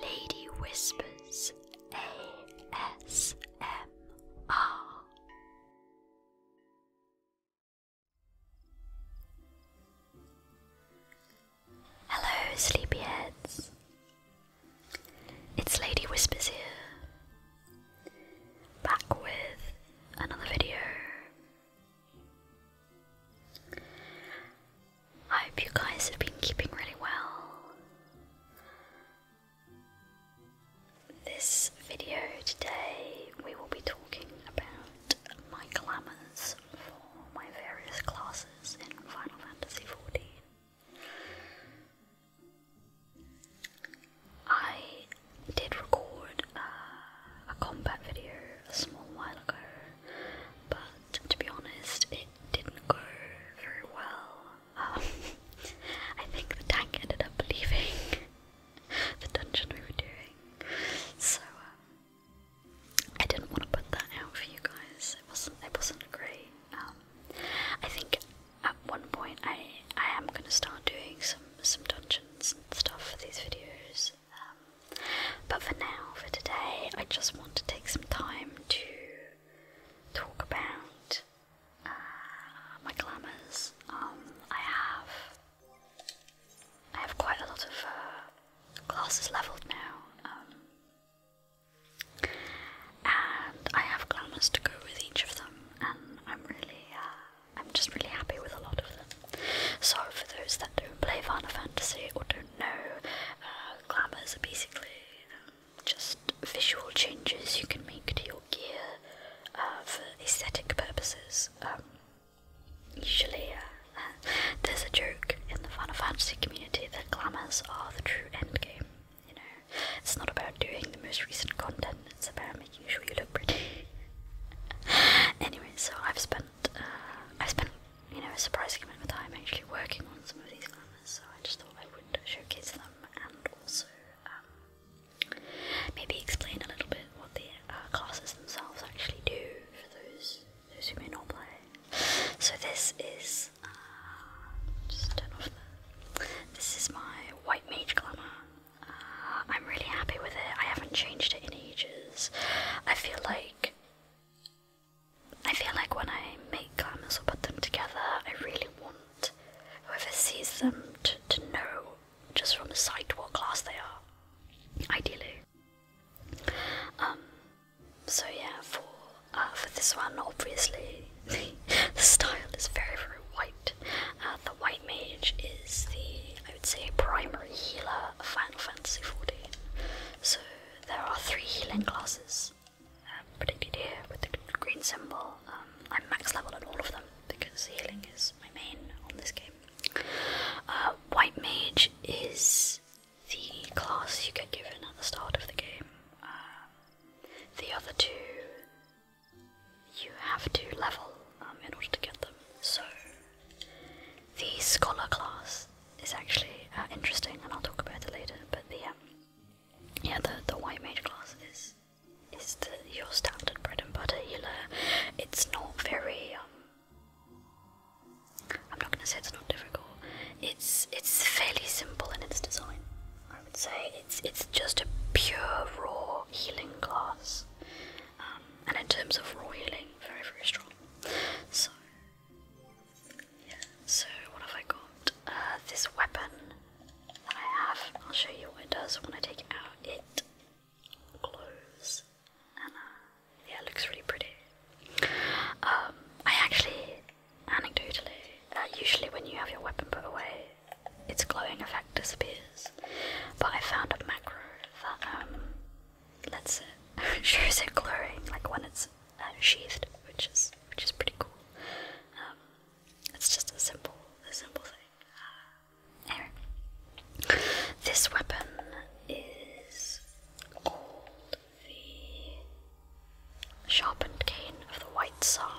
Lady Whispers ASMR Hello, sleepyheads. It's Lady Whispers here, back with another video. I hope you guys have been keeping really well. This video today, we will be talking about my glamours for my various classes in Final Fantasy XIV. I did record uh, a combat video a small while ago, but to be honest, it didn't go very well. Um, I think the tank ended up leaving the dungeon we were doing, so um, I didn't want to put that out for you guys. It wasn't. It wasn't great. Um, I think at one point I I am gonna start doing some some dungeons and stuff for these videos. Um, but for now, for today, I just want to take some time to talk about uh, my glamours. Um, I have I have quite a lot of classes uh, leveled now, um, and I have glamours to go with each of them, and I'm really uh, I'm just really happy with a lot of them. So for those that don't play Final Fantasy or do don't uh, glamours are basically um, just visual changes you can make to your gear uh, for aesthetic purposes. Um, usually, uh, there's a joke in the Final Fantasy community that glamours are the true endgame. You know, it's not about doing the most recent content; it's about making sure you look pretty. anyway, so I've spent I've spent you know, a surprising amount of time actually working on some of these glamours, so I just thought I would showcase them and also um, maybe explain a little bit what the uh, classes themselves actually do for those those who may not play. So this is uh, just turn off the. This is my white mage glamour. Uh, I'm really happy with it. I haven't changed it in ages. I feel like I feel like when I make garments or put them together, I really want whoever sees them to, know just from the sight what class they are, ideally. Um, so yeah, for uh, for this one, obviously the style is very very white. Uh, the white mage is the I would say primary healer of Final Fantasy fourteen. So there are three healing classes uh, predicted here with the green symbol. Um, I'm max level at all of them because healing is my main on this game. Uh, white Mage is the class you get given at the start of the game. Uh, the other two you have to level um, in order to get them. So the scholar class is actually uh, interesting, and I'll talk about it later. But the um, yeah, the the white mage class is is your standard bread and butter healer. It's not very. Um, I'm not gonna say it's not difficult. It's it's fairly simple in its design. I would say it's it's just a pure raw healing class, um, and in terms of raw healing, very very strong. So so, what have I got? Uh, this weapon that I have. I'll show you what it does when I take it out. It glows. And uh, yeah, it looks really pretty. Um, I actually, anecdotally, uh, usually when you have your weapon put away, its glowing effect disappears. But I found a macro that um, let's uh, shows it glowing like when it's uh, sheathed, which is which is pretty cool. Um, it's just a simple, a simple thing. Uh, anyway, this weapon is called the sharpened cane of the White Tsar.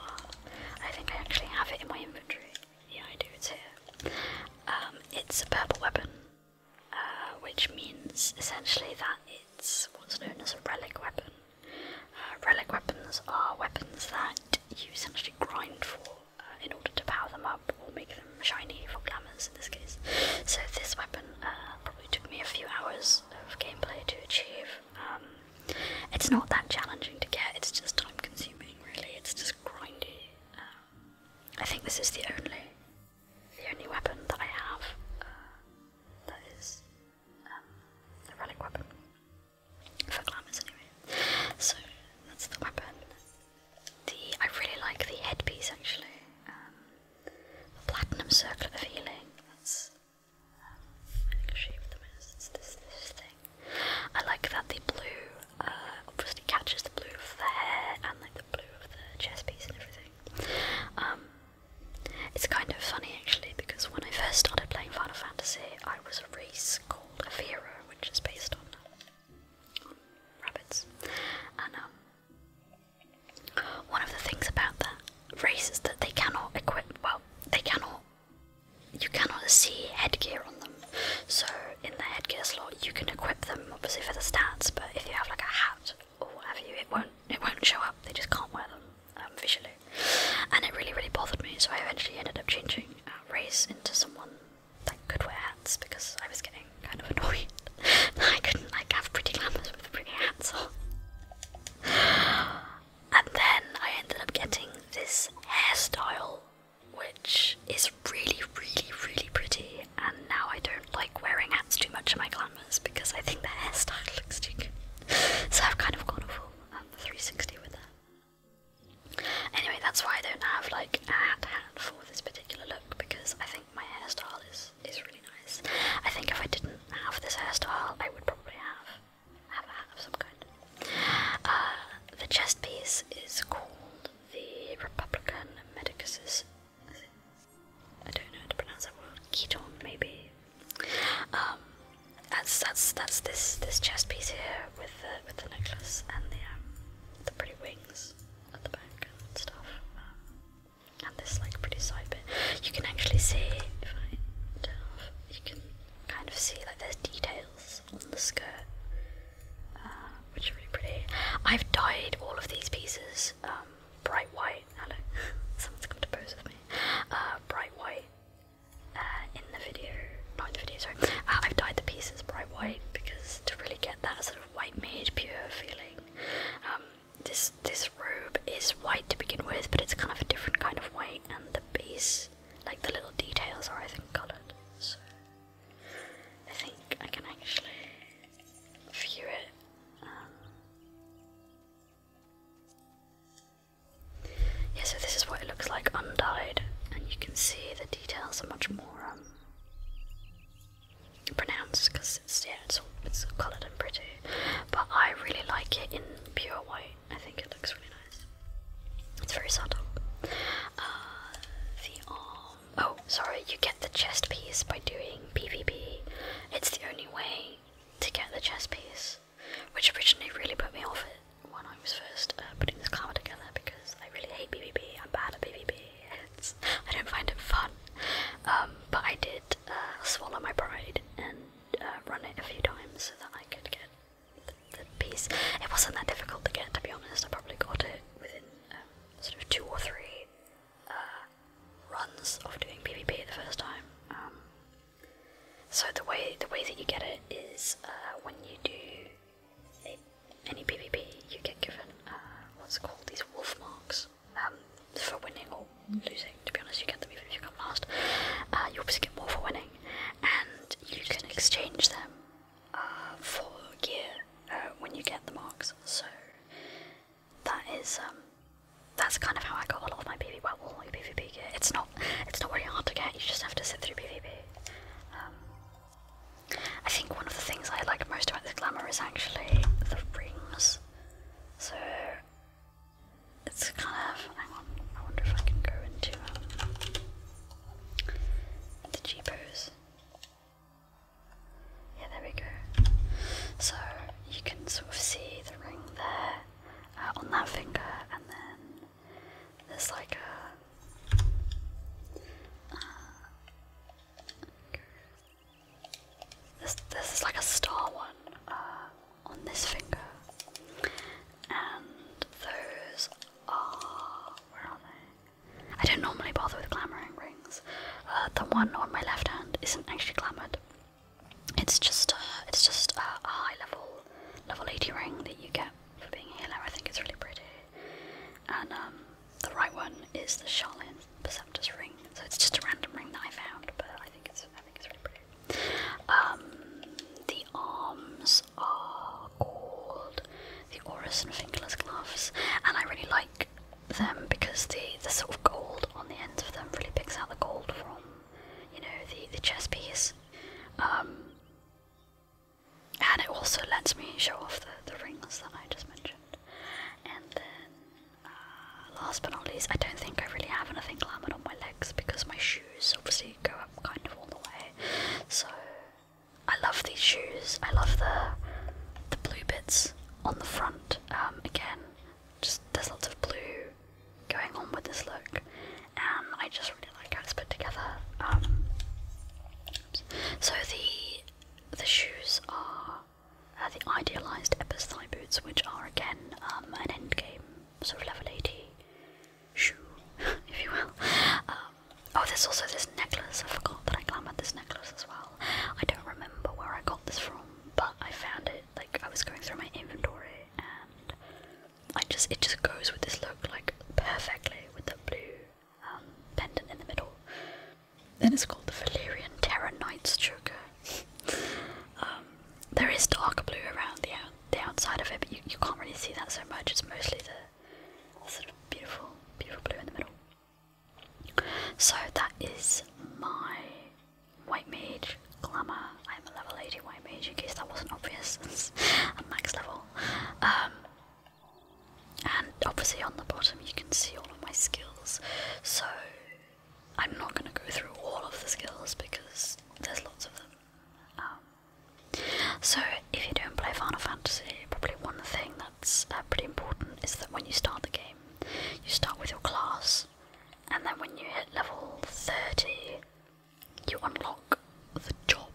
I think I actually have it in my inventory. Yeah, I do. It's here. Um, it's a purple weapon. Uh, which means essentially that it's what's known as a relic weapon. Uh, relic weapons are weapons that you essentially grind for uh, in order to power them up or make them shiny for glamours in this case. So this weapon uh, probably took me a few hours of gameplay to achieve. Um, it's not that challenging to get, it's just time consuming really, it's just grindy. Um, I think this is the only the only weapon that I have uh, that is um, a relic weapon for glamours anyway. So that's the weapon. The I really like the headpiece actually. Um, the platinum circle of healing. That's um, the it's this this thing. I like that the blue uh, obviously catches the blue of the hair and like the blue of the chest piece and everything. Um, it's kind of funny actually because when I first started playing Final Fantasy, I was a race called Avira, which is based on, um, rabbits. And um, one of the things about that race is that they cannot equip, well, they cannot, you cannot see headgear on them. So in the headgear slot, you can equip them obviously for the stats, but if you have like a hat or oh, what you, it won't it won't show up. They just can't wear them um, visually, and it really really bothered me. So I eventually ended up changing uh, race into someone that could wear hats because I was getting kind of annoyed I couldn't like have pretty glamorous with pretty hats on. And then I ended up getting this hairstyle, which is really really really pretty and now I don't like wearing hats too much in my glamours because I think the hairstyle looks too so I've kind of gone full um, 360 with them. Anyway, that's why I don't have like a hat for this particular look because I think my hairstyle is is really nice. I think if I didn't have this hairstyle, I would probably have have a hat of some kind. Uh, the chest piece is called the Republican Medicus's I don't know how to pronounce that word. Keton, maybe. Um, that's that's that's this this chest piece here with the with the necklace and the um, the pretty wings at the back and stuff. Um, and this like pretty side bit. You can actually see if You can kind of see like there's details on the skirt, uh, which are really pretty. I've dyed all of these pieces bright white hello. Someone's come to pose with me. Uh, bright white. Uh, in the video, not the video, sorry. Uh, I've dyed the pieces bright white because to really get that sort of white mage pure feeling. Um, this this robe is white to begin with, but it's kind of a different kind of white, and the base, like the little details, are I think coloured. So I think I can actually view it um, yeah, so this is what it looks like undyed, and you can see the details are much more um, pronounced because it's yeah, it's all, it's coloured and pretty. But I really like it in pure white. I think it looks really nice. It's very subtle. Uh, the arm. Oh, sorry. You get the chest piece by doing PvP. It's the only way to get the chess piece, which originally really put me off it when I was first uh, putting this card together because I really hate PvP. I'm bad at PvP. It's, I don't find it fun. Um, but I did uh, swallow my pride and uh, run it a few times so that I could get the, piece. It wasn't that difficult to get, to be honest. I probably got it within um, sort of two or three runs of doing PvP the first time. Um, so the way the way that you get it is uh, when you do any PvP, you get given uh, what's called these wolf marks um, for winning or losing. To be honest, you get them even if you come last. Uh, you obviously get more for winning, and you can exchange them uh, for gear uh, when you get the marks. So that is um that's kind of how I got a lot of my PvP. Well, all my PvP gear. It's not it's not really hard to get. You just have to sit through PvP. Um, I think one of the things I like most about the glamour is actually the rings. So it's kind of I wonder if I can go into um, the cheapos. Yeah, there we go. So you can sort of see the ring there uh, on that finger, and then there's like a. this, this is like a star one uh, on this finger, and those are where are they? I don't normally bother with clamoring rings. Uh, the one on my left hand isn't actually clamored; it's just, uh, it's just a, high level, level 80 ring that you get for being a healer. I think it's really pretty. And um, the right one is the Charlene Perceptor's ring. So it's just a random ring that I found, but I think it's, I think it's really pretty. Um, the arms are called the Oris and Fingerless gloves, and I really like them because the, the sort of gold on the ends of them really picks out the gold from, you know, the, the chess piece. Um, and it also lets me show off the, the rings that I just mentioned. And then, uh, last but not least, I don't think I really have anything glamored on my legs because my shoes obviously go up kind of all the way. So, I love these shoes. I love the the blue bits on the front. Um, again, just there's lots of blue going on with this look, and I just really like how it's put together. Um, so the the shoes are uh, the idealized Eppers thigh boots, which are again um, an end game sort of level 80 shoe, if you will. Um, oh, there's also this necklace. I forgot that I glamoured this necklace as well. I don't remember where I got this from, but I found it like I was going through my inventory and I just it just goes with this look like perfectly with the blue um, pendant in the middle. Then it's called the Valyrian Terra Knight's Choker. Um, there is dark blue around the, the outside of it, but you, you can't really see that so much. It's mostly the sort of beautiful, beautiful blue in the middle. So that is my white mage glamour. I'm a level 80 white mage in case that wasn't obvious. max level. Um, and obviously on the bottom you can see all of my skills. So I'm not going to go through all of the skills because there's lots of them. Um, so if you don't play Final Fantasy, probably one thing that's uh, pretty important is that when you start the game, you start with your class and then when you hit level 30, you unlock the job.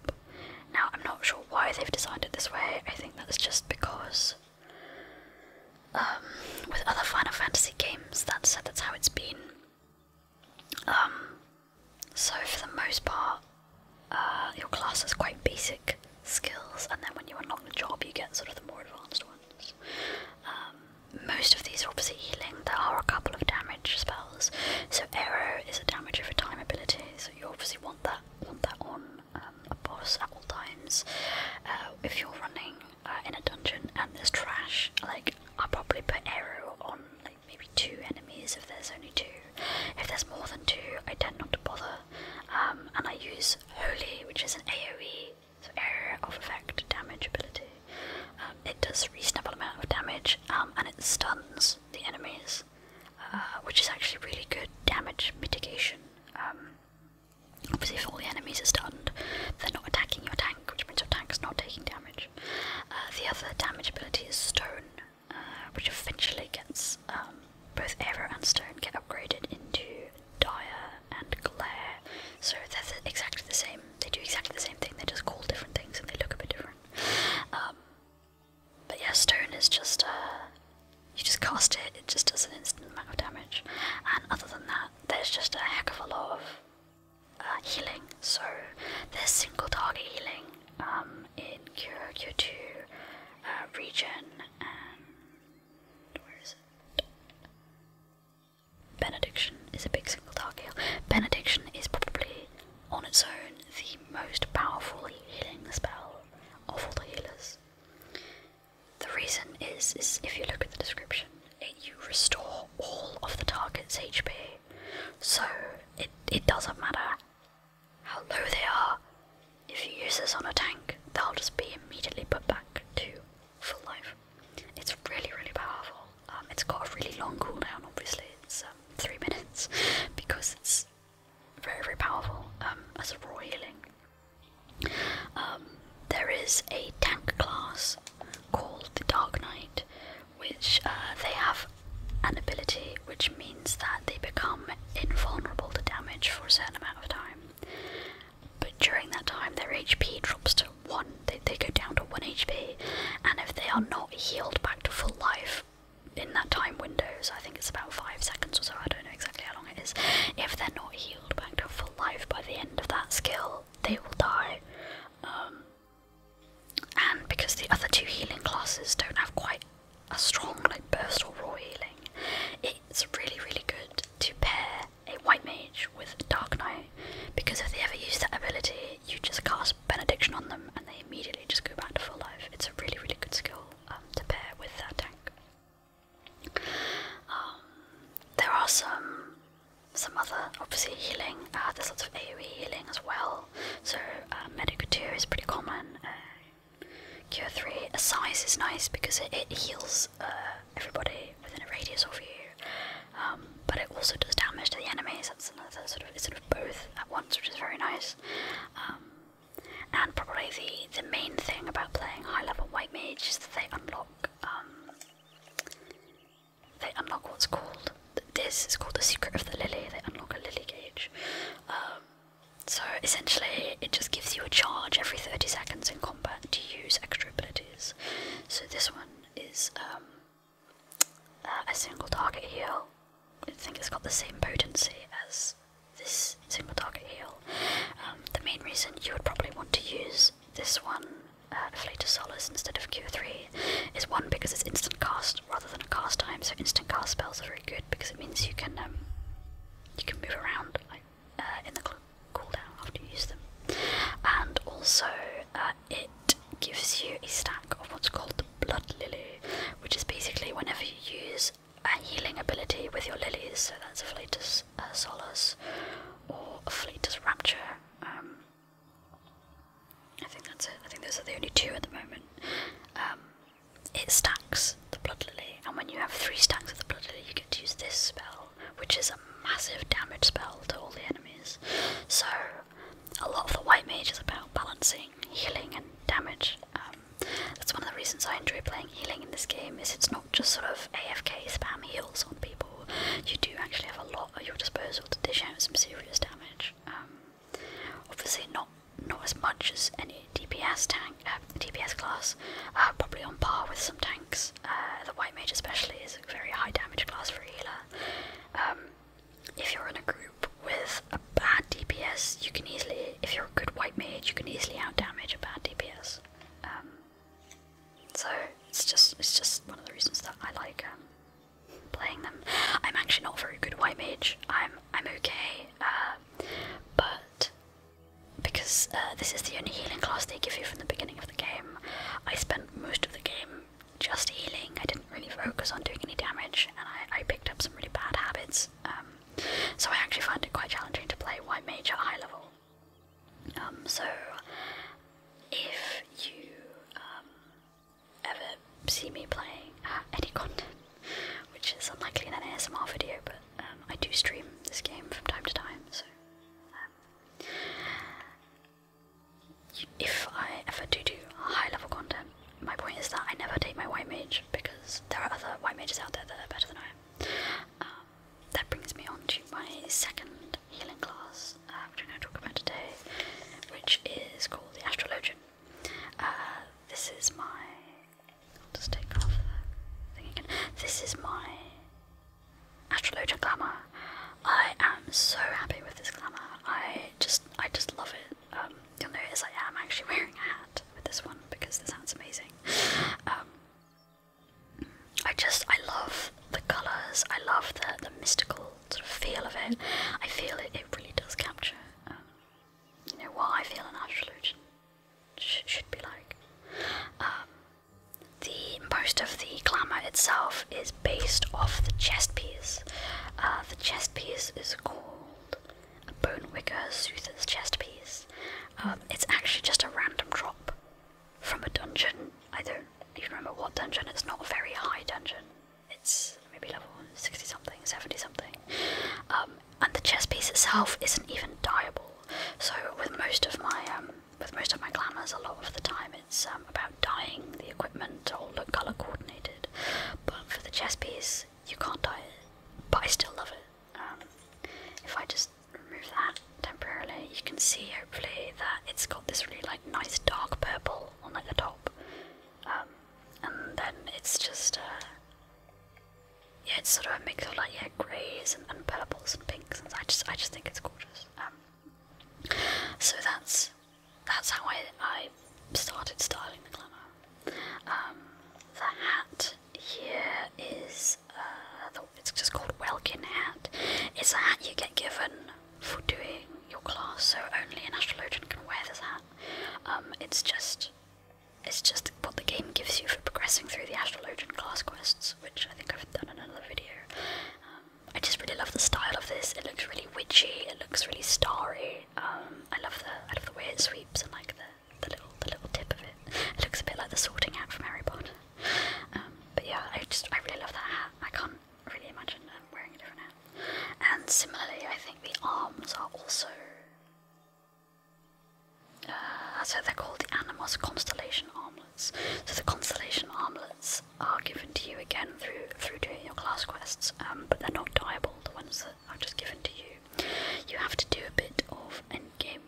Now, I'm not sure why they've designed it this way, I think that's just because. Um, with other Final Fantasy games, that said, that's how it's been. Um, so for the most part, uh, your class has quite basic skills, and then when you unlock the job, you get sort of the more advanced ones. Um, most of these are obviously healing. There are a couple of damage spells. So arrow is a damage over time ability, so you obviously want that want that on um, a boss at all times. Uh, if you're running uh, in a dungeon and there's trash, like i probably put arrow on like maybe two enemies if there's only two. If there's more than two, I tend not to bother. Um, and I use holy, which is an AoE so area of effect, damage ability. Um, it does reasonable amount of damage, um, and it stuns the enemies, uh, which is actually really good damage mitigation. Um, obviously, if all the enemies are stunned, they're not attacking your tank, which means your tank's not taking damage. Uh, the other damage ability is stone, uh, which eventually gets both arrow and stone get upgraded into dire and glare, So they're exactly the same. They do exactly the same thing. they just call different things and they look a bit different. Um, but yeah, stone is just uh, you just cast it. It just does an instant amount of damage. And other than that, there's just a heck of a lot of uh, healing. So there's single target healing um, in Cure Cure Two uh, region and where is it? Benediction is a big single target heal. Benediction is probably on its own the most powerful healing spell of all the healers. The reason is, is if you look at the description, it, you restore all of the target's HP. So it, it doesn't matter how low they are. If you use this on a tank, they'll just be immediately put back to full life. It's really, really powerful. Um, it's got a really long cooldown, obviously, it's um, three minutes because it's very, very powerful um, as a raw healing. there is a tank class called the Dark Knight, which uh, they have an ability which means that they become invulnerable to damage for a certain amount of time. But during that time, their HP drops to 1, they, they go down to 1 HP, and if they are not healed back to full life in that time window, so I think it's about 5 seconds or so, I don't know exactly how long it is, if they're not healed back to full life by the end of that skill, they will die. Um, and because the other two healing classes don't have quite a strong like burst or raw healing, it's really, really good to pair a white mage with Dark Knight, because if they ever use that ability, you just cast Benediction on them and they immediately just go back to full life. It's a really, really good skill um, to pair with that tank. Um, there are some some other, obviously, healing. Uh, there's lots of AoE healing as well. So uh, Medic 2 is pretty common. Q uh, three, a size is nice because it, heals uh, everybody within a radius of you, um, but it also does damage to the enemies. That's another sort of sort of both at once, which is very nice. Um, and probably the the main thing about playing high level white mage is that they unlock um, they unlock what's called this is called the secret of the lily. They unlock a lily gauge. so essentially, it just gives you a charge every 30 seconds in combat to use extra abilities. So this one is um, uh, a single target heal. I think it's got the same potency as this single target heal. Um, the main reason you would probably want to use this one, uh, Afflatus Solace, instead of Q3 is one because it's instant cast rather than a cast time. So instant cast spells are very good because it means you can um, you can move around uh, in the cooldown after you use them. And also, uh, it gives you a stack of what's called the blood lily, which is basically whenever you use a healing ability with your lilies, so that's Afflatus uh, Solus or Afflatus Rapture. Um, I think that's it. I think those are the only two at the moment. Um, it stacks the blood lily, and when you have three stacks of the blood lily, you get to use this spell which is a massive damage spell to all the enemies. So, a lot of the white mage is about balancing healing and damage. Um, that's one of the reasons I enjoy playing healing in this game. Is it's not just sort of AFK spam heals on people. You do actually have a lot at your disposal to dish out some serious damage. Um, obviously, not not as much as any DPS tank, uh, DPS class. Uh, probably on par with some tanks uh, the white mage especially is a very high damage class for healer. Um, if you're in a group with a bad DPS, you can easily, if you're a good white mage, you can easily outdamage a bad DPS. Um, so it's just it's just one of the reasons that I like um, playing them. I'm actually not very good white mage. I'm I'm okay, uh, but because uh, this is the only healing class they give you from the beginning of the game, I spent most of the game just healing. I didn't really focus on doing any damage, and I, picked up some really bad habits. Um, so I actually find it quite challenging to play White Mage at high level. Um, so if you um, ever see me playing uh, any content, which is unlikely in an ASMR video, but I do stream this game from time to time, so. Uh, if I ever do do high level content, my point is that I never take my white mage because there are other white mages out there that are better than I am. Um, that brings me on to my second healing class, uh, which I'm going to talk about today, which is called the Astrologian. Uh, this is my. just take off the thing again. This is my Astrologia glamour. I am so happy with this glamour. I just I just love it. Um, you'll notice I am actually wearing a hat with this one because this hat's amazing. Um, I just I love the colours. I love the the mystical sort of feel of it. I feel it. It really does capture um, you know what I feel an astrologian should be like the most of the glamour itself is based off the chest piece. Uh, the chest piece is called Bone Wicker Soother's chest piece. Um, it's actually just a random drop from a dungeon. I don't even remember what dungeon. It's not a very high dungeon. It's maybe level sixty something, seventy something. Um, and the chest piece itself isn't even diable. So with most of my um, with most of my glamours, a lot of the time it's um, about dyeing the equipment all look colour coordinated. But for the chest piece, you can't dye it, but I still love it. Um, if I just remove that temporarily, you can see hopefully that it's got this really like nice dark purple on like the top, um, and then it's just uh, yeah, it's sort of a mix of like yeah greys and, purples and pinks, and I just I just think it's gorgeous. Um, so that's that's how I, I started styling the glamour. Um, the hat here is uh, it's just called Welkin hat. It's a hat you get given for doing your class, so only an astrologian can wear this hat. Um, it's just it's just what the game gives you for progressing through the astrologian class quests, which I think I've done another video. Um, I just really love the style of this. It looks really witchy. It looks really starry. Um, I love the I love the way it sweeps and like the, the little the little tip of it. It looks a bit like the Sorting Hat from Harry Potter. Um, but yeah, I just I really love that hat. I can't really imagine um, wearing a different hat. And similarly, I think the arms are also. Uh, so they're called the Animus constellation arms. So the constellation armlets are given to you again through through doing your class quests, um, but they're not dieable. The ones that are just given to you, you have to do a bit of end game.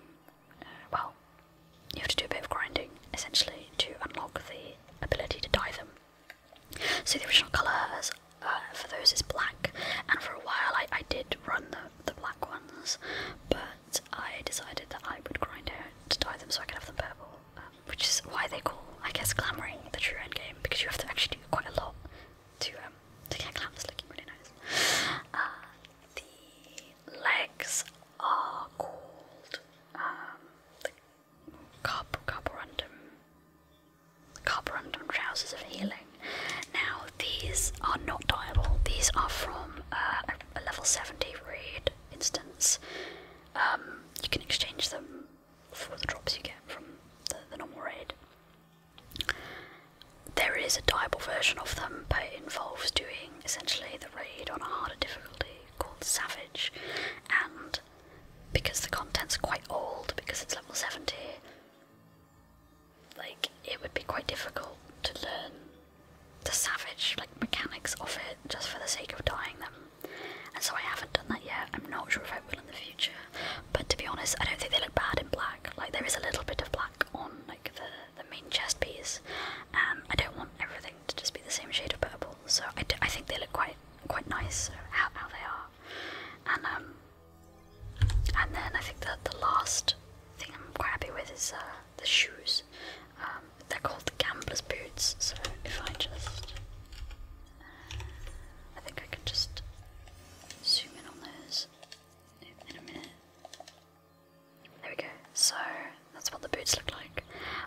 Uh, well, you have to do a bit of grinding essentially to unlock the ability to dye them. So the original colour uh, for those is black, and for a while I, I did run the, the black ones, but I decided that I would grind out to dye them so I could have them purple, um, which is why they call, I guess, glamoring the true end game because you have to actually do quite a lot to um, to get glamorous looking really nice. Uh, the legs are called um, the carp carborundum carborundum trousers of healing. Now these are not dyeable. These are from uh, a, level seventy raid instance, um, you can exchange them for the drops you get from the normal raid. There is a diable version of them, but it involves doing essentially the raid on a harder difficulty called Savage, and because the content's quite old, because it's level 70, like it would be quite difficult to learn the savage like mechanics of it just for the sake of dying them. And so I haven't done that yet. I'm not sure if I will in the future. But to be honest, I don't think they look bad in black. Like there is a little bit of black on like the the main chest piece, and um, I don't want everything to just be the same shade of purple. So I think they look quite quite nice how how they are. And um, and then I think that the last thing I'm quite happy with is uh, the shoes. Um, they're called the gambler's boots, so if I just. I think I can just zoom in on those in a minute. There we go. So that's what the boots look like.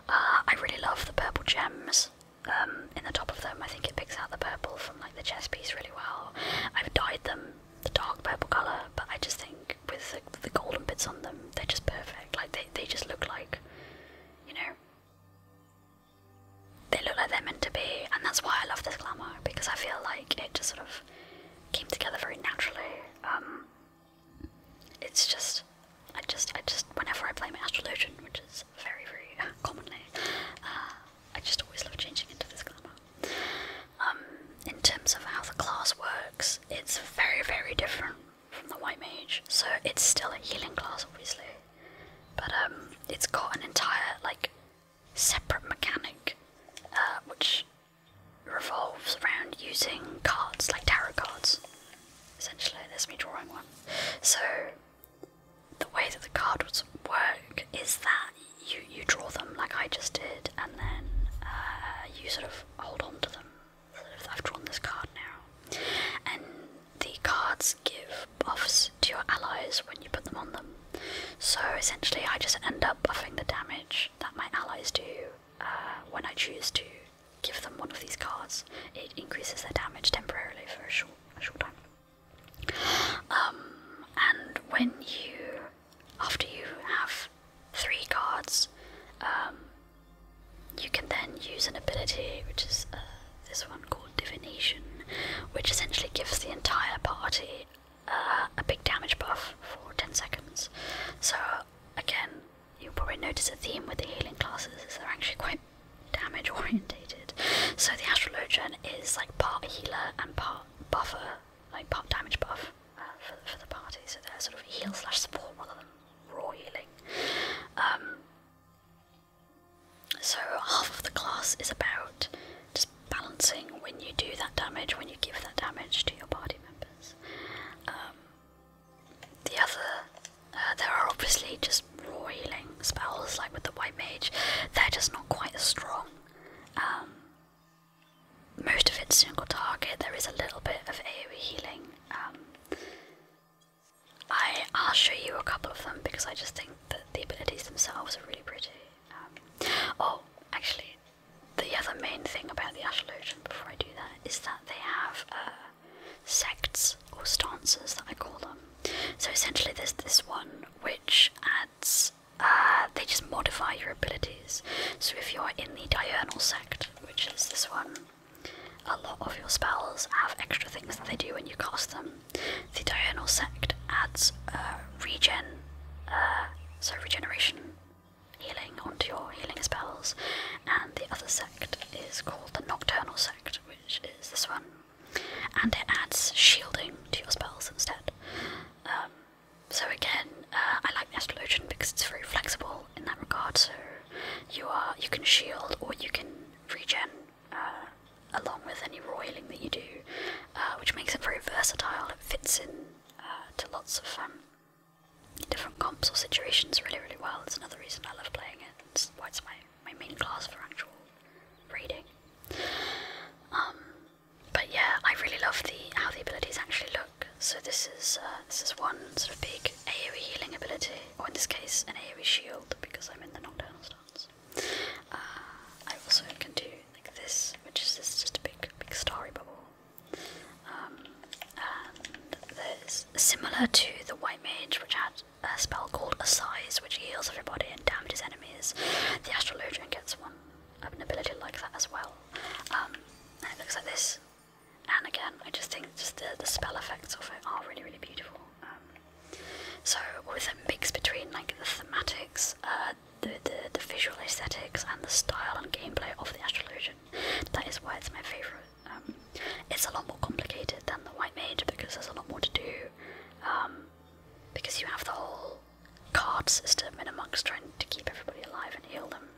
Uh, I really love the purple gems um, in the top of them. I think it picks out the purple from like the chest piece really well. I've dyed them the dark purple color, but I just think with the the golden bits on them, they're just perfect. Like they they just look like, you know, they look like they're meant to be, and that's why I love this glamour because I feel like it just sort of came together very naturally. Um, it's just, I just, I just, whenever I play my astrologian, which is very, very commonly, eh, uh, I just always love changing into this glamour. Um, in terms of how the class works, it's very, very different from the white mage, so it's still a healing class, obviously. But um, it's got an entire like separate mechanic, uh, which revolves around using cards like tarot cards. Essentially, there's me drawing one. So the way that the cards work is that you you draw them like I just did, and then uh, you sort of hold on to them I've drawn this card now. And the cards give buffs to your allies when you put them on them. So essentially, I just end up buffing the damage that my allies do uh, when I choose to give them one of these cards. It increases their damage temporarily for a short, a short time. Um, and when you, after you have three cards, um, you can then use an ability which is uh, this one called Divination, which essentially gives the entire party uh, a big damage buff for 10 seconds. So, again, you'll probably notice a theme with the healing classes they're actually quite damage orientated. So the Astrologian is like part healer and part buffer, like part damage buff uh, for, for the party. So they're sort of heal slash support rather than raw healing. Um, so half of the class is about just balancing when you do that damage, when you give that damage to your party members. Um, the other, uh, there are obviously just raw healing spells, like with the white mage. They're just not quite as strong. Um, most of it's single target. There is a little bit of AoE healing um, I, I'll show you a couple of them because I just think that the abilities themselves are really pretty. Um, oh, actually, the other main thing about the Ashalogian, before I do that, is that they have uh, sects or stances that I call them. So essentially, there's this one which adds, uh, they just modify your abilities. So if you're in the diurnal sect, which is this one, a lot of your spells have extra things that they do when you cast them. The Diurnal Sect adds uh, regen, uh, so regeneration healing onto your healing spells, and the other sect is called the Nocturnal Sect, which is this one, and it adds shielding to your spells instead. Um, so again, uh, I like the Astrologian because it's very flexible in that regard. So you are you can shield or you can regen uh, along with any roiling that you do, uh, which makes it very versatile. It fits in uh, to lots of um, different comps or situations really really well. It's another reason I love playing it. It's why it's my my main class for actual raiding. Um, but yeah, I really love the how the abilities actually look. So this is uh, this is one sort of big AoE healing ability, or in this case, an AoE shield because I'm in the nocturnal stance. Uh, I also can do like this, which is just a big big starry bubble, um, and similar to the white mage, which had a spell called Assize, which heals everybody and damages enemies. The Astrologian gets one, ability like that as well, um, and it looks like this. And again, I just think just the, the spell effects of it are really, really beautiful. Um, so with a mix between like the thematics, uh, the, the visual aesthetics, and the style and gameplay of the Astral Illusion, that is why it's my favorite. Um, it's a lot more complicated than the White Mage because there's a lot more to do. Um, because you have the whole card system and in monk's trying to keep everybody alive and heal them.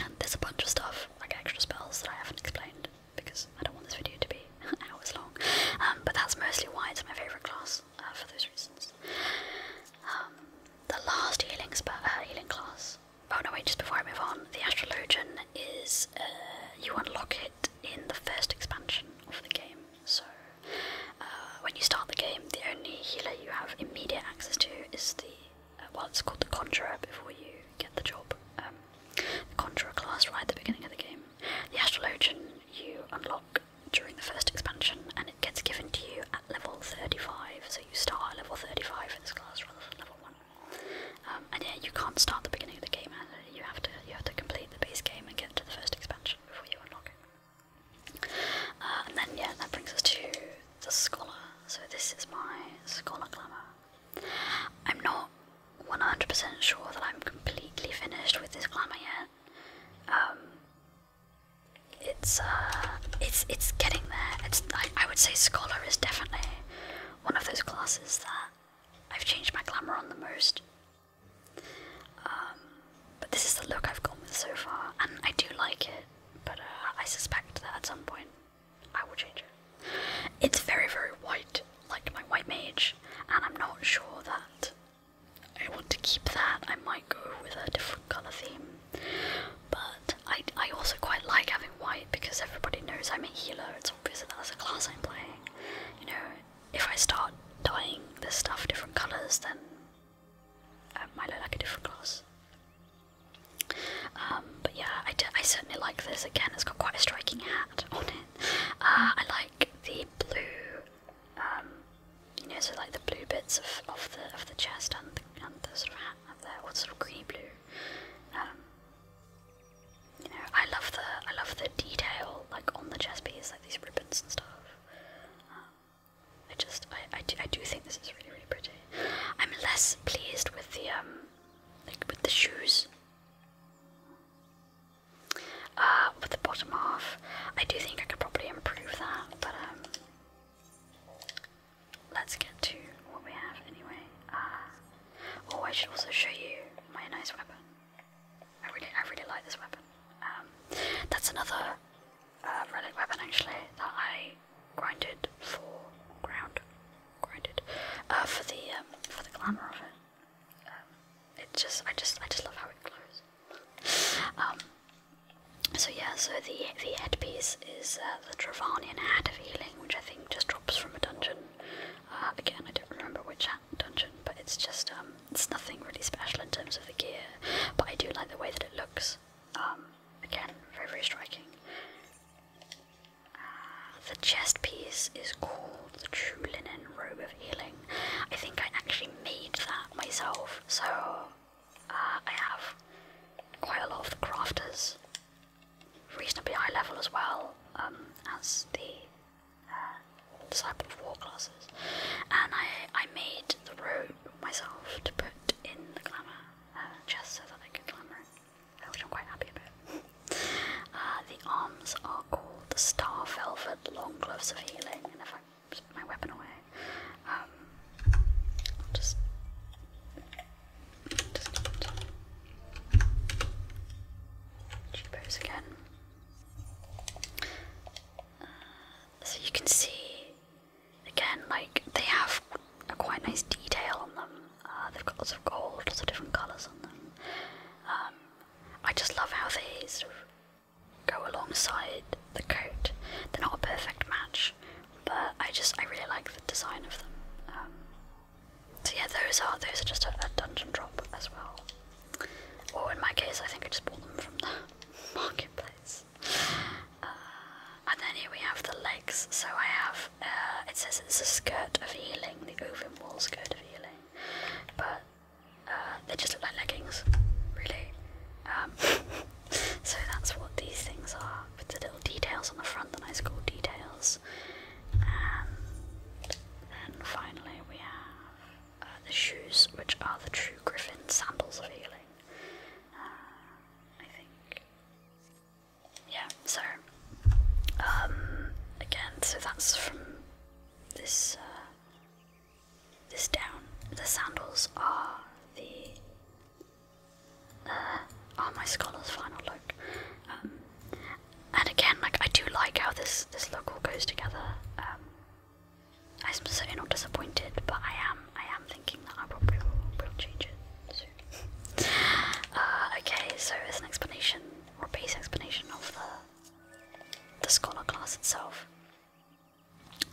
And there's a bunch of stuff, like extra spells that I haven't explained because I don't want this video to be hours long. Um, but that's mostly why it's my favourite class uh, for those reasons. Um, the last healing, spe uh, healing class. Oh no, wait, just before I move on, the Astrologian is. Uh, you unlock it in the first expansion of the game. So, when you start the game, the only healer you have immediate access to is the well, it's called the Conjurer before you get the job. Um, the Conjurer class right at the beginning of the game. The Astrologian you unlock during the first expansion, and it gets given to you at level 35. So you start at level 35 in this class rather than level one. Um, and yeah, you can't start the beginning of the game. You have to you have to complete the base game and get to the first expansion before you unlock it. Uh, and then yeah, that brings us to the Scholar. So this is my Scholar glamour. I'm not 100% sure that I'm completely finished with this glamour yet. Um, it's uh, it's it's getting there. It's I, would say scholar is definitely one of those classes that I've changed my glamour on the most. Um, but this is the look I've gone with so far, and I do like it. But uh, I suspect that at some point I will change it. It's very, very white, like my white mage, and I'm not sure that I want to keep that. I might go with a different colour theme. But I, I also quite like having white because everybody knows I'm a healer. It's obvious that that's a class I'm playing. You know, if I start dyeing this stuff different colours, then um, might look like a different class. Um, but yeah, I, certainly like this. Again, it's got quite a striking hat on it. Uh, I like the blue, um, you know, so like the blue bits of, of the of the chest and the, and the sort of hat there, or sort of greeny blue. Um, you know, I love the I love the detail like on the chest piece, like these ribbons and stuff. I just I, I do think this is really really pretty. I'm less pleased with the with the shoes. Uh, with the bottom half, I do think I could probably improve that, but um, let's get to what we have anyway. Uh, oh, I should also show you my nice weapon. I really, I really like this weapon. Um, that's another uh, relic weapon actually that I grinded for ground, grinded uh, for the um, for the glamour of it. Um, it just I just I just love how it glows. Um, so yeah, so the the headpiece is uh, the Travanian Hat of Healing, which I think just drops from a dungeon. Uh, again, I don't remember which dungeon, but it's just um, it's nothing really special in terms of the gear, but I do like the way that it looks. again, very very striking the chest piece is called the True Linen Robe of Healing. I think I actually made that myself, so uh, I have quite a lot of the crafters, reasonably high level as well um, as the Disciple uh, of War classes. And I, I made the robe myself to put in the glamour uh, chest so that I could glamour at I'm quite happy about uh, the arms are called the Star Velvet Long Gloves of Healing, and if I put my weapon away, um, just. just she again. Uh, so you can see, again, like they have a quite nice detail on them. Uh, they've got lots of gold, lots of different colours on them. Um, I just love how these go alongside the coat. They're not a perfect match, but I just I really like the design of them. Um, so yeah, those are those are just a, dungeon drop as well. Or in my case, I think I just bought them from the marketplace. Uh, and then here we have the legs. So I have uh, it says it's a skirt of healing, the Ovin Wall skirt of healing, but uh, they just look like leggings, really. Um, so that's what these things are, with the little details on the front, the nice cool details. And then finally we have uh, the shoes, which are the true griffin sandals of healing. I think yeah, so um again, so that's from this uh, this down. The sandals are the uh, are my scholar's final look. Um, and again, like I do like how this this look all goes together. Um, I'm certainly not disappointed, but I am I am thinking that I probably will change it. Uh, okay, so as an explanation, or base explanation of the, the scholar class itself.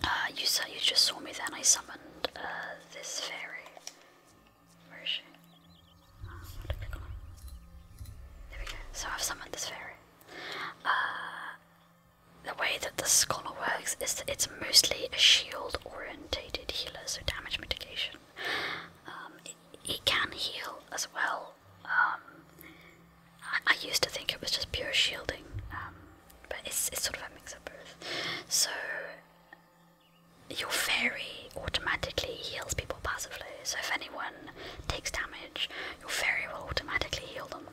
Uh, you, saw, you just saw me then, I summoned uh, this fairy. Where is she? there we go. So I've summoned this fairy. the way that the scholar works is that it's mostly a shield orientated healer, so damage mitigation. Um, it, can heal as well. Um, I, used to think it was just pure shielding, um, but it's, it's sort of a mix of both. So your fairy automatically heals people passively. So if anyone takes damage, your fairy will automatically heal them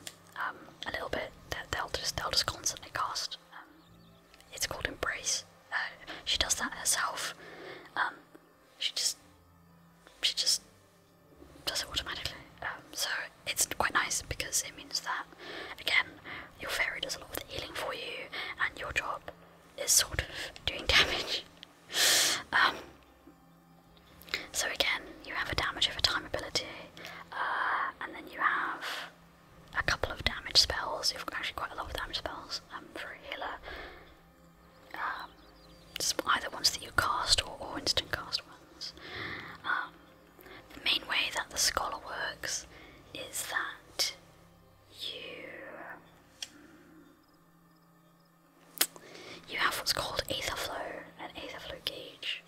a little bit. They'll just they'll just constantly cast it's called embrace. Uh, she does that herself. Um, she just she just does it automatically. Um, so it's quite nice because it means that again your fairy does a lot of healing for you, and your job is sort of doing damage. Um, so again, you have a damage over time ability, uh, and then you have a couple of damage spells, You've actually quite a lot of damage spells um, for healer. Um, either ones that you cast or, or instant cast ones. Um, the main way that the scholar works is that you mm, you have what's called aetherflow, an flow gauge.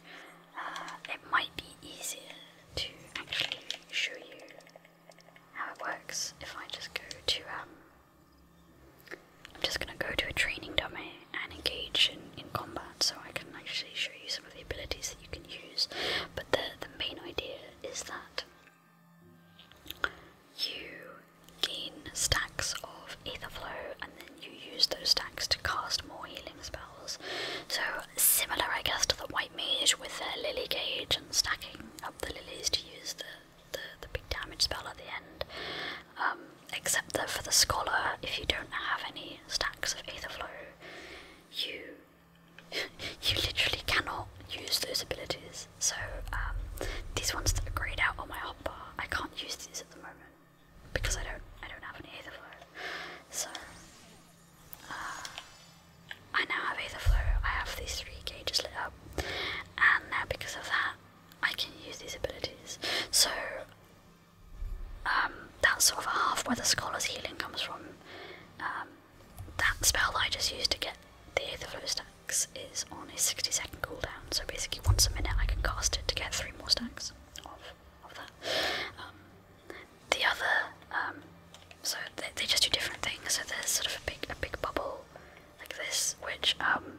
Uh, it might be easier to actually show you how it works if I just go to um, I'm just gonna go to a training dummy and engage in, combat so I can actually show you some of the abilities that you can use. But the the main idea is that you gain stacks of ether flow, and then you use those stacks to cast more healing spells. So similar I guess to the white mage with their lily cage and stacking up the lilies to use the, the, the big damage spell at the end. Um, except that for the scholar, if you don't have any stacks of Aetherflow, you you literally cannot use those abilities. So um, these ones that are grayed out on my hotbar, I can't use these at the moment because I don't I don't have any Aetherflow. So I now have Aetherflow, I have these three gauges lit up, and now because of that, I can use these abilities. So, um, that's sort of half where the Scholar's Healing comes from. Um, that spell that I just used to get the Aetherflow stacks is on a 60 second cooldown, so basically once a minute I can cast it to get three more stacks of, of that. Um, the other so they, just do different things. So there's sort of a big a big bubble like this, which um,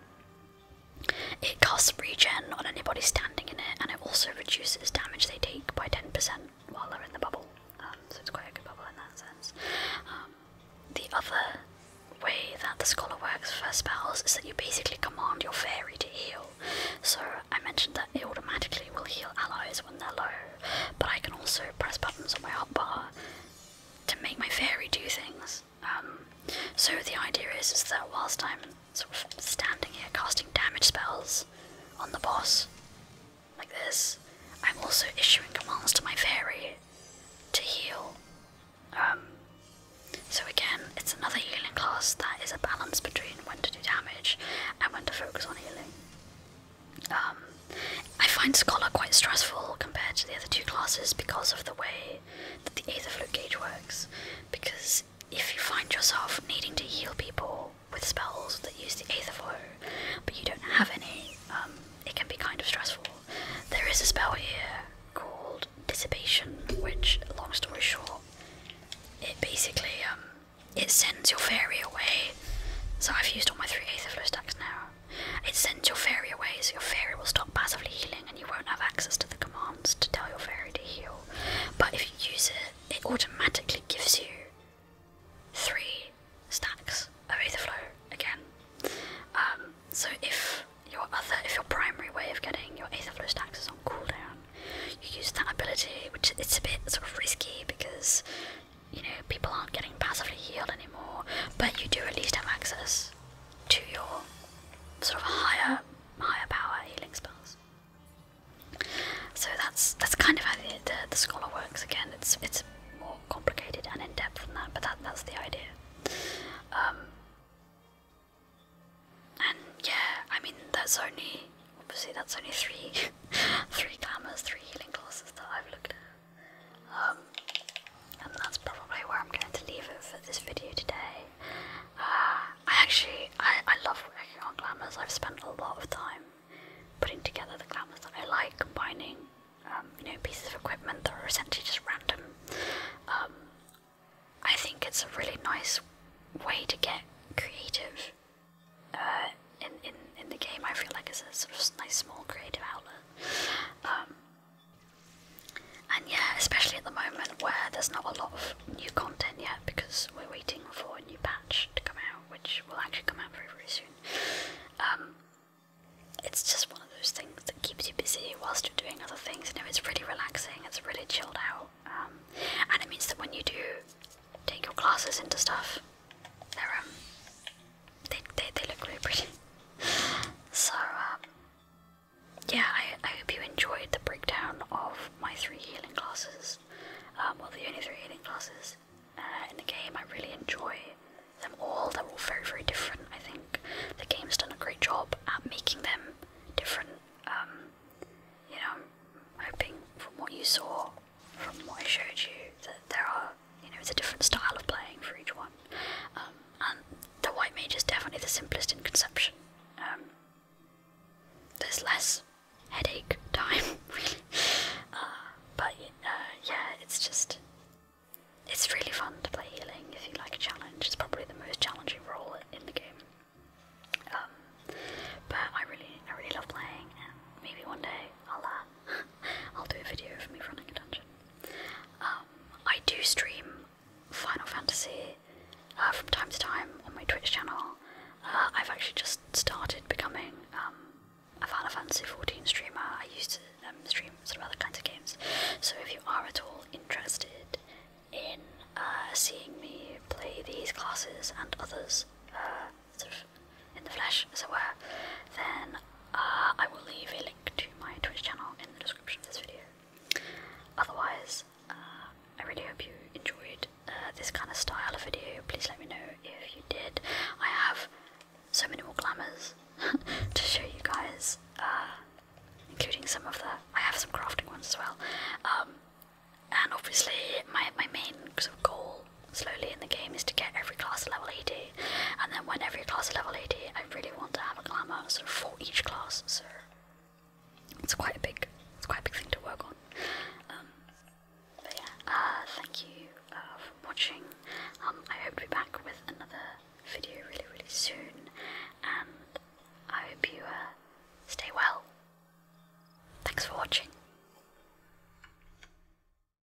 it casts regen on anybody standing in it, and it also reduces damage they take by ten percent while they're in the bubble. Um, so it's quite a good bubble in that sense. Um, the other way that the scholar works for spells is that you basically command your fairy to heal. So I mentioned that it automatically will heal allies when they're low, but I can also press buttons on my hotbar to make my fairy do things. Um, so the idea is, that whilst I'm sort of standing here casting damage spells on the boss, like this, I'm also issuing commands to my fairy to heal. Um, so again, it's another healing class that is a balance between when to do damage and when to focus on healing. Um, I find Scholar quite stressful compared to the other two classes because of the way that the ether flow gauge works. Because if you find yourself needing to heal people with spells that use the ether flow, but you don't have any, um, it can be kind of stressful. There is a spell here called Dissipation, which, long story short, it basically um, it sends your fairy away. So I've used all my three ether flow stacks now. It sends your fairy away, so your fairy will stop passively healing and you won't have access to the commands to tell your fairy to heal. But if you use it, it automatically gives you three stacks of overflow again. Um, so if your other, if your primary way of getting your Aetherflow stacks is on cooldown, you use that ability, which it's a bit sort of risky because you know, people aren't getting passively healed anymore, but you do at least have access to your sort of higher, higher power healing spells. So that's that's kind of how the, scholar works. Again, it's it's more complicated and in depth than that, but that that's the idea. Um, and yeah, I mean that's only obviously that's only three three glimmers, three healing classes that I've looked at. Um, and that's probably where I'm going to leave it for this video today. Uh, I actually, I, I love working on glamours. I've spent a lot of time putting together the glamours that I like, combining, um, you know, pieces of equipment that are essentially just random. Um, I think it's a really nice way to get creative uh, in, in, in the game, I feel like it's a sort of nice small creative outlet. Um, and yeah, especially at the moment where there's not a lot of new content yet because we're waiting for a new patch to come out, which will actually come out very, very soon. Um, it's just one of those things that keeps you busy whilst you're doing other things. You know, it's really relaxing, it's really chilled out, um, and it means that when you do take your classes into stuff, they um, they, they, look really pretty. So, uh, yeah, I, I hope you enjoyed the breakdown of my three healing classes. Um, well, the only three healing classes uh, in the game. I really enjoy them all. They're all very, very different. I think the game's done a great job at making them different. Um, you know, hoping from what you saw from what I showed you that there are, you know, it's a different style of playing for each one. Um, and the White Mage is definitely the simplest in conception. Um, there's less headache time, really. Uh, but uh, yeah, it's just. It's really fun to play healing if you like a challenge. It's probably the most challenging role in the game. Um, but I really, I really love playing, maybe one day I'll uh, I'll do a video of me running a dungeon. Um, I do stream Final Fantasy uh, from time to time on my Twitch channel. Uh, I've actually just started becoming um, a Final Fantasy 14 streamer. I used to um, stream sort of other kinds of games. So if you are at all interested in uh, seeing me play these classes and others, in the flesh, as it were, then uh, I will leave a link to my Twitch channel in the description of this video. Otherwise, uh, I really hope you enjoyed uh, this kind of style of video. Please let me know if you did. I have so many more glamours to show you guys, including some of the. I have some crafting ones as well. Um, and obviously, my, my main goal slowly in the game is to get every class level 80, and then when every class level 80, I really want to have a glamour for each class. So it's quite a big, it's quite a big thing to work on. Um, but yeah, uh, thank you uh, for watching. Um, I hope to be back with another video really, really soon, and I hope you uh, stay well. Thanks for watching.